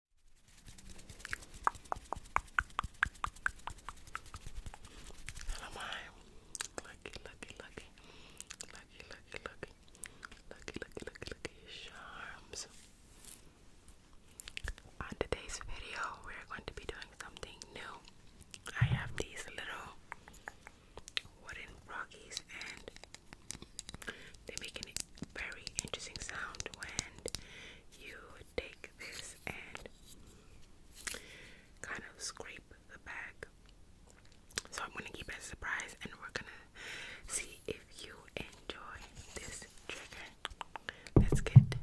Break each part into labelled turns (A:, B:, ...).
A: And am lucky, lucky, lucky, lucky, lucky, lucky, lucky, charms? On today's video, we're going to be doing something new. I have these little wooden brockies and they make a very interesting sound when you take this and kind of scrape the bag. So I'm gonna keep it as a surprise and we're gonna see if you enjoy this trigger. Let's get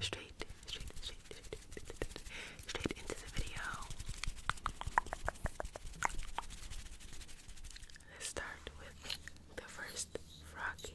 A: straight, straight, straight, straight, straight, straight into the video. Let's start with the first froggy.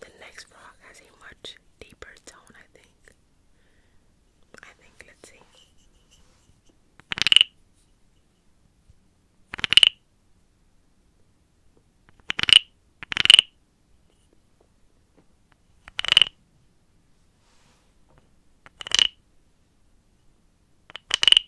A: The next frog has a much deeper tone, I think. I think, let's see.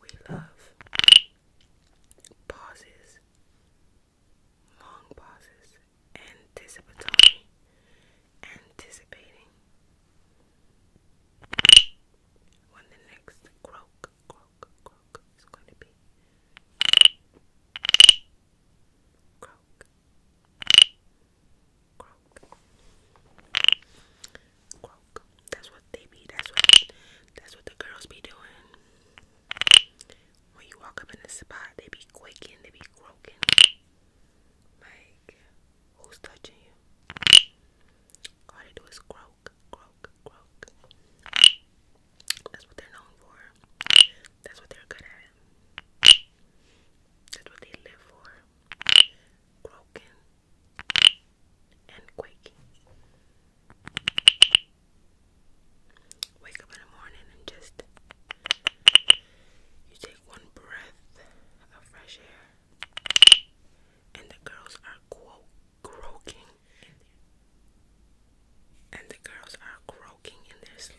A: We love pauses, long pauses, anticipatory, anticipating. When the next croak, croak, croak is going to be croak, that's what they be. That's what. That's what the girls be doing. When you walk up in the spot, they be quaking. They be croaking. Like, who's touching you? All they do is croak, croak, croak. That's what they're known for. That's what they're good at. That's what they live for. Broken and quaking. Wake up in the morning and just you take one breath of fresh air, and the girls are quote croaking, and the girls are croaking smoking in their sleep.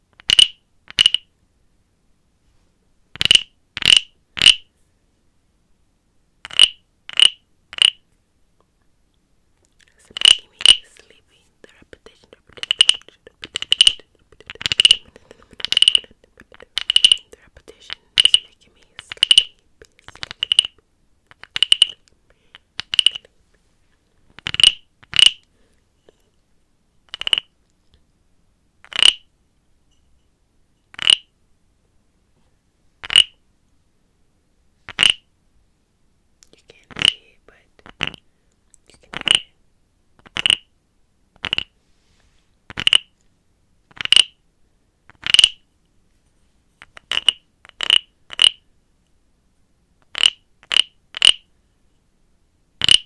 A: It's making me sleepy. The repetition, the repetition, the repetition, the repetition is making me sleepy. sleepy. sleepy. You can't see it, but you can hear it.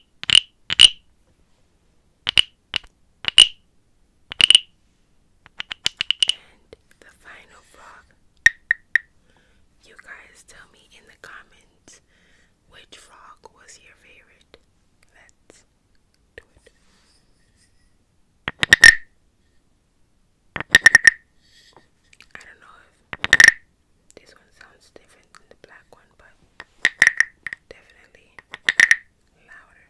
A: And the final frog. You guys tell me in the comments which frog was your favorite. Let's do it. I don't know this one sounds different than the black one, but definitely louder.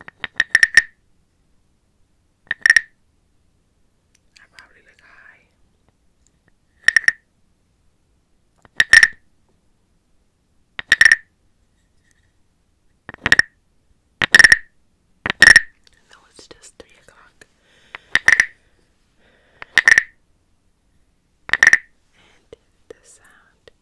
A: I probably look high. No, it's just three o'clock. And the sound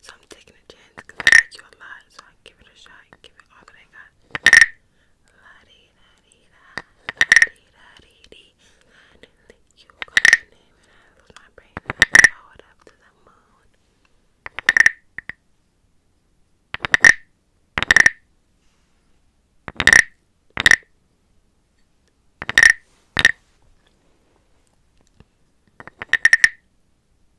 A: So I'm taking a chance I like you a lot. So I give it a shot. Give it all that I got. La dee da dee da. La da dee dee. I did you were going name I lose my brain. I up to the moon.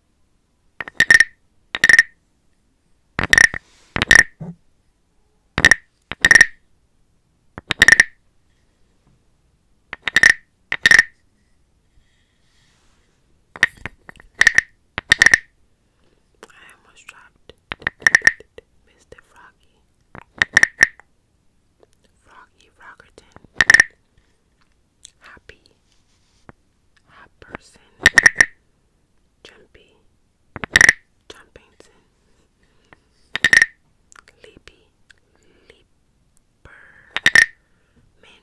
A: I almost dropped Mr. Froggy. Froggy Rockerton happy, hot person, jumpy, jumpington, leapy, leaper, men.